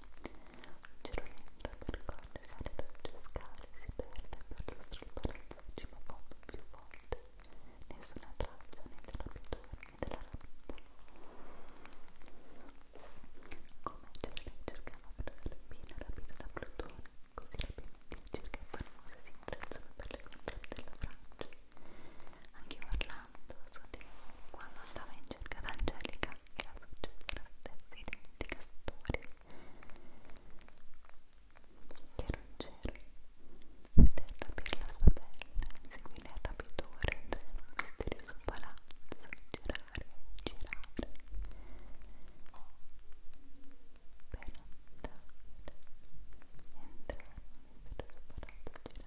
Girolando percorre sale dolce scale, si perde per lo scalpare cima fondo più volte. Nessuna traccia né della pittura né della rapita. Come Girolando cercava per l'alpina rapita da Plutone, così la Benedice che famosa si intrecciano per le controle della Francia anche Orlando quando andava in cerca d'Angelica era successa la stessa identica storia che era un cero veder rapire la sua pelle seguire il rapitore entrare in un misterioso palazzo girare, girare per andare entrare in un misterioso palazzo girare, girare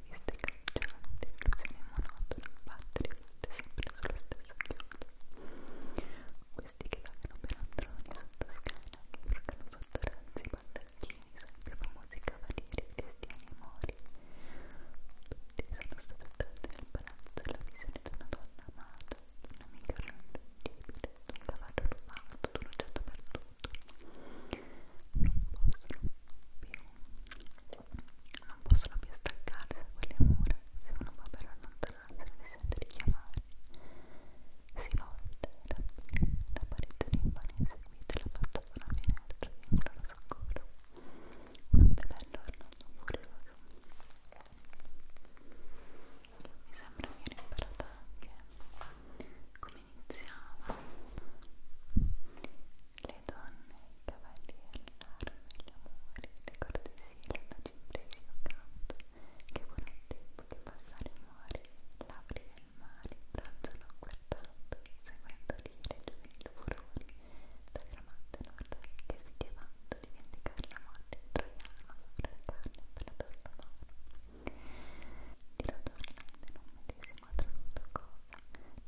viste cangianti, illusioni monotone, battere viste sempre sullo stesso chiodo. Questi che vanno per androni sotto scala, che urcano sotto razzi, baldacchini, sempre famosi cavalieri, cristiani e mori. Tutti sono stati attratti nel palazzo della visione di una donna amata, di un'amica irraggiungibile, di un cavallo rubato, di un oggetto perduto. Non possono più non possono più staccarsi da quelle mura se uno va per allontanarsi si sente richiamare si volta la, la parete rimane inseguita la pantofona finestra vincola lo soccorso quanto è bello Orlando furioso mi sembra che aver imparato anche come iniziava le donne, i cavalli all'arme, gli amori, le cortesie, la cimpresi accanto, che buon tempo che passare muore, labbri del mare, bronzano guardando, seguendo l'ire giovanili furori, da gramante nord che si chiamando di vendicare la morte troiano sopra la carne per la torna mano. Tiro tornando in un medesimo inquadrato cosa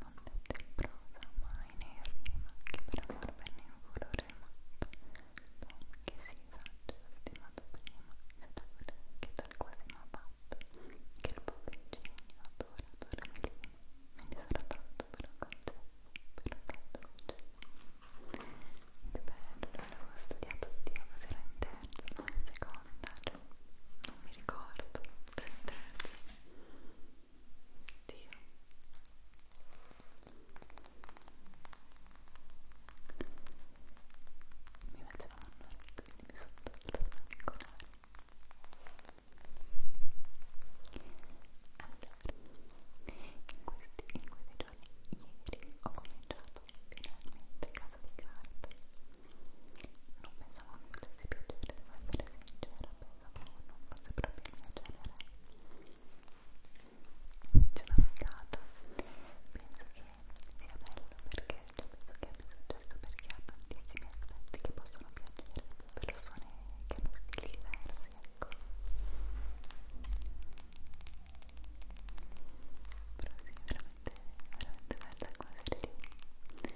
non detta in prosa mai né rima che per amor venne in furore matto l'uomo che si saggio stimato prima se da quel che tal quasi m'ha fatto che il poco ingegno adora adora mi lima me ne sarà tanto però concesso però tanto concesso bello l'avevo studiato Dio ma si era in terza no in seconda cioè non mi ricordo se in terza tiro mi metto la mano quindi mi sotto ancora allora in questi, in questi giorni ieri ho cominciato finalmente casa di carta non pensavo mi potesse piacere, devo essere sincera, pensavo non fosse proprio il mio genere invece una figata penso che sia bello perché cioè, penso che abbia successo perché ha tantissimi aspetti che possono piacere a persone che hanno stili diversi ecco però sì, veramente, veramente bella come serie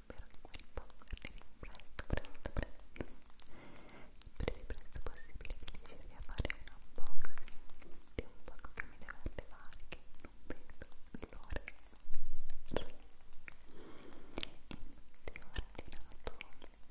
spero che quel poco arrivi presto, presto, presto il più presto possibile che riuscirvi a fare un unboxing di un poco che mi deve arrivare che non vedo l'ora infatti ho ordinato um, un, diciamo un set di ho ordinato un set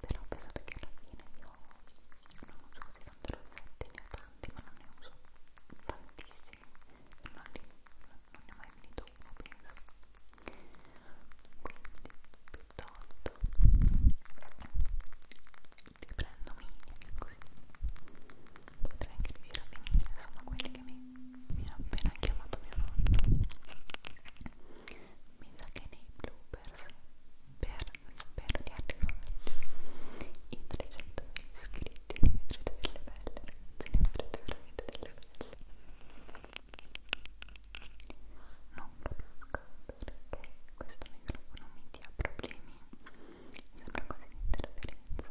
però pensate che alla fine io non uso così tante rossette, ne ho tanti ma non ne uso tantissimi non, li, non ne ho mai finito uno penso quindi piuttosto li prendo mini così potrei anche riuscire a finire sono quelli che mi, mi ha appena chiamato mio nonno mi sa che nei bloopers per, spero di arrivarci i 300 iscritti ne vedrete delle belle ragazzi ne vedrete veramente delle belle non conosco perché questo microfono mi dia problemi sembra quasi un'interferenza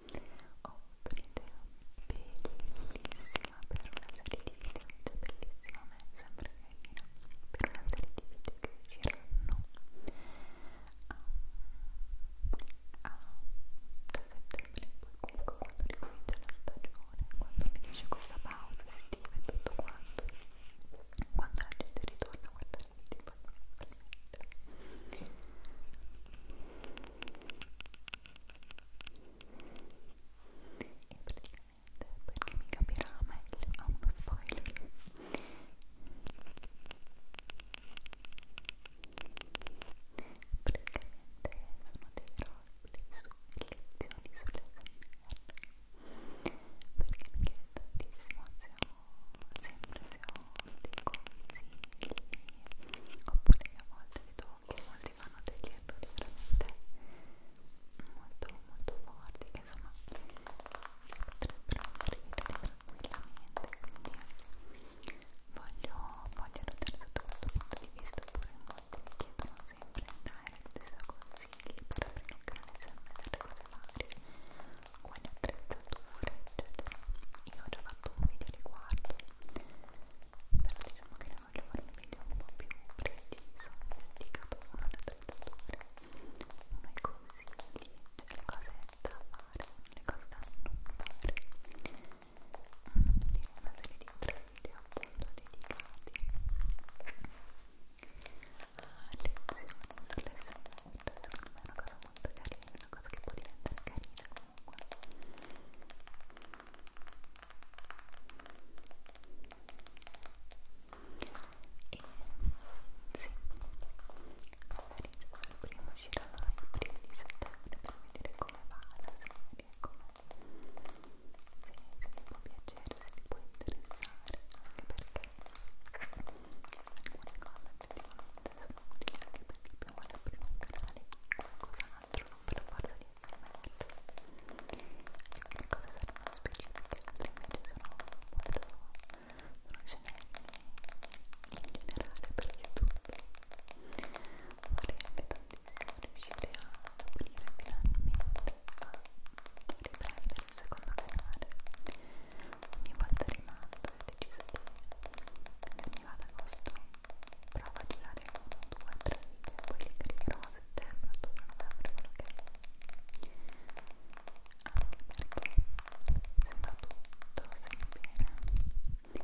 ho avuto un'idea bellissima per una serie di video, cioè bellissima a me sembra carina, per una serie di video che usciranno a, a, da settembre, poi comunque quando ricomincia la stagione, quando finisce questa pausa estiva e tutto quanto, quando la gente ritorna a guardare i video, poi, e praticamente perché mi capirà meglio a uno spoiler praticamente sono dei roleplay su lezioni sull'SMR perché mi chiede tantissimo se ho sempre se ho dei consigli oppure a volte vedo che molti fanno degli errori veramente molto molto forti che insomma potrebbero rivedere tranquillamente quindi voglio voglio notare tutto questo punto di vista oppure molti mi chiedono sempre in direct i suoi consigli per aprire un canale sempre delle cose varie quali attrezzature eccetera io ho già fatto fatto un video riguardo però diciamo che ne voglio fare un video un po' più preciso dedicato alla trattatura uno i consigli, cioè le cose da fare le cose da non fare dire una serie di tre video appunto dedicati a lezioni sull'SMR secondo me è una cosa molto carina una cosa che può diventare carina comunque e sì il primo uscirà il primo di settembre per vedere come va la serie come se vi può piacere se vi può interessare anche perché alcune cose effettivamente sono utili anche per chi più vuole aprire un canale di qualcos'altro, non per forza di SMR alcune cose saranno specifiche, altre invece sono molto sono generiche in generale per YouTube vorrei anche tantissimo riuscire a aprire finalmente a riprendere il secondo canale ogni volta rimando ho deciso che mi vado ad agosto provo a girare 1, 2, 3 video poi li creerò a settembre, ottobre, novembre quello che è anche perché se va tutto sempre bene quindi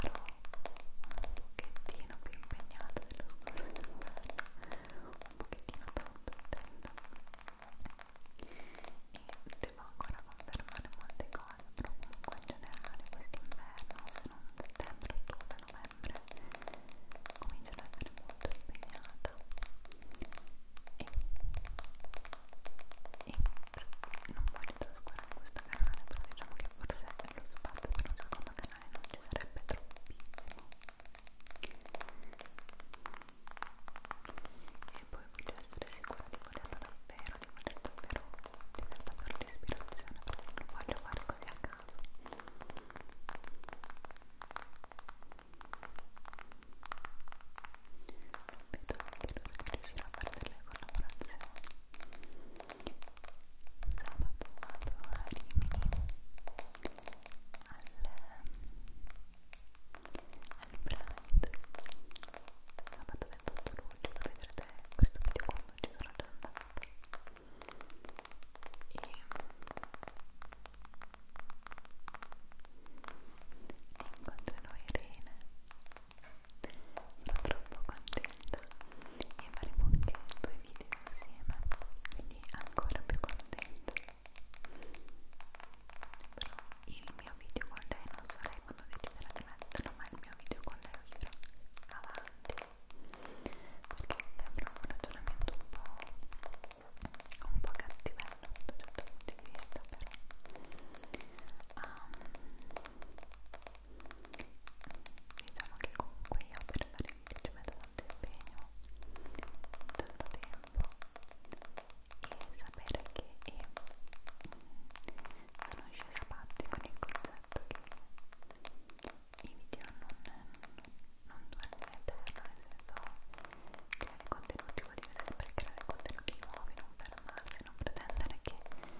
sarò un pochettino più impegnata dello scorso inverno un pochettino tanto intendo e devo ancora confermare molte cose cosa, però comunque in generale quest'inverno, se non settembre, ottobre, novembre, comincio ad essere molto impegnata e, e non voglio trascurare questo canale, però diciamo che forse lo spazio per un secondo canale non ci sarebbe troppissimo e poi voglio essere sicura di volerlo davvero, di voler davvero, di aver davvero l'ispirazione perché non voglio fare così a caso non vedo anche l'ora di riuscire a fare delle collaborazioni sabato vado a Rimini al al Pride sabato 28 luglio dove vedrete questo video quando ci sono già andata e incontrerò Irene sono troppo contenta e faremo anche due video insieme quindi ancora più contenta però il mio video con lei non sarà fare quando deciderà di metterlo ma il mio video quando lo uscirò avanti perché avrò un ragionamento un po' un po' cattivello da un certo punto di vista però um, diciamo che comunque io per fare video ci metto tanto impegno tanto tempo e sapere che eh, sono scesa a parte con il concetto che i video non, non durano in eterno, nel senso creare contenuti vuol dire sempre creare contenuti nuovi, non fermarsi, non pretendere che vengano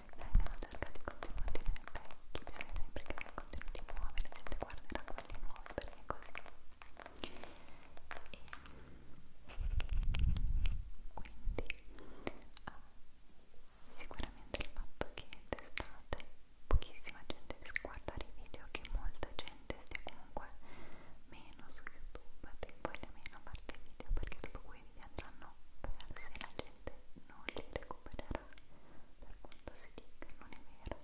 cercati contenuti vecchi, bisogna sempre creare contenuti nuovi, la gente guarderà quelli nuovi perché è così. E, uh, sicuramente il fatto che d'estate pochissima gente riesca a guardare i video che molta gente stia comunque meno su youtube ti voglia meno a parte i video perché dopo quei video andranno persi la gente non li recupererà per quanto si dica non è vero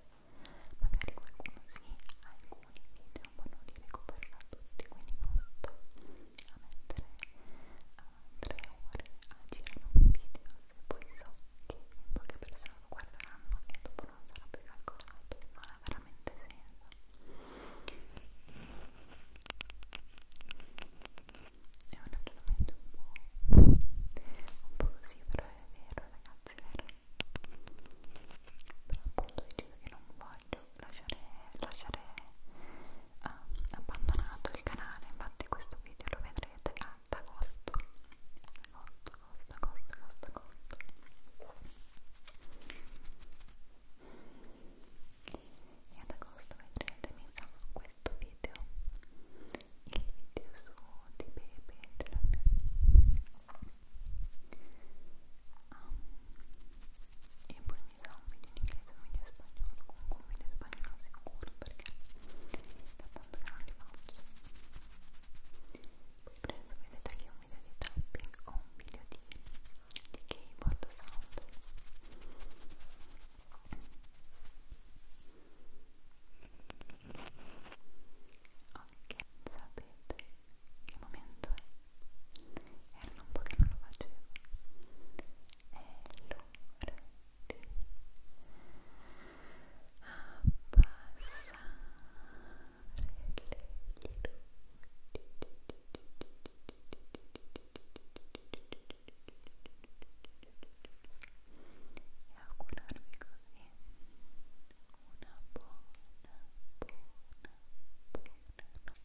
magari qualcuno sì alcuni video ma non li recupererà tutti quindi non sto a mettere uh, tre ore a girare un video se poi so che poche persone lo guarderanno e dopo non sarà più calcolato, non ha veramente senso. È un ragionamento un po', un po' così, però è vero ragazzi, è vero. Però appunto deciso che non voglio lasciare, lasciare uh, abbandonato il canale infatti questo video lo vedrete ad agosto agosto, agosto, agosto, agosto, agosto. e ad agosto vedrete mi farò questo video il video su di Pepe um, e poi mi sa un video in inglese, un video in spagnolo, comunque un video in spagnolo sicuro perché da tanto che non li faccio. Poi prendo, vedete che un video di tapping o un video di, di keyboard sound. Ok, sapete che momento è? Era un po' che non lo facevo. È l'ora di abbassare le e augurarvi così una buona, buona, buona notte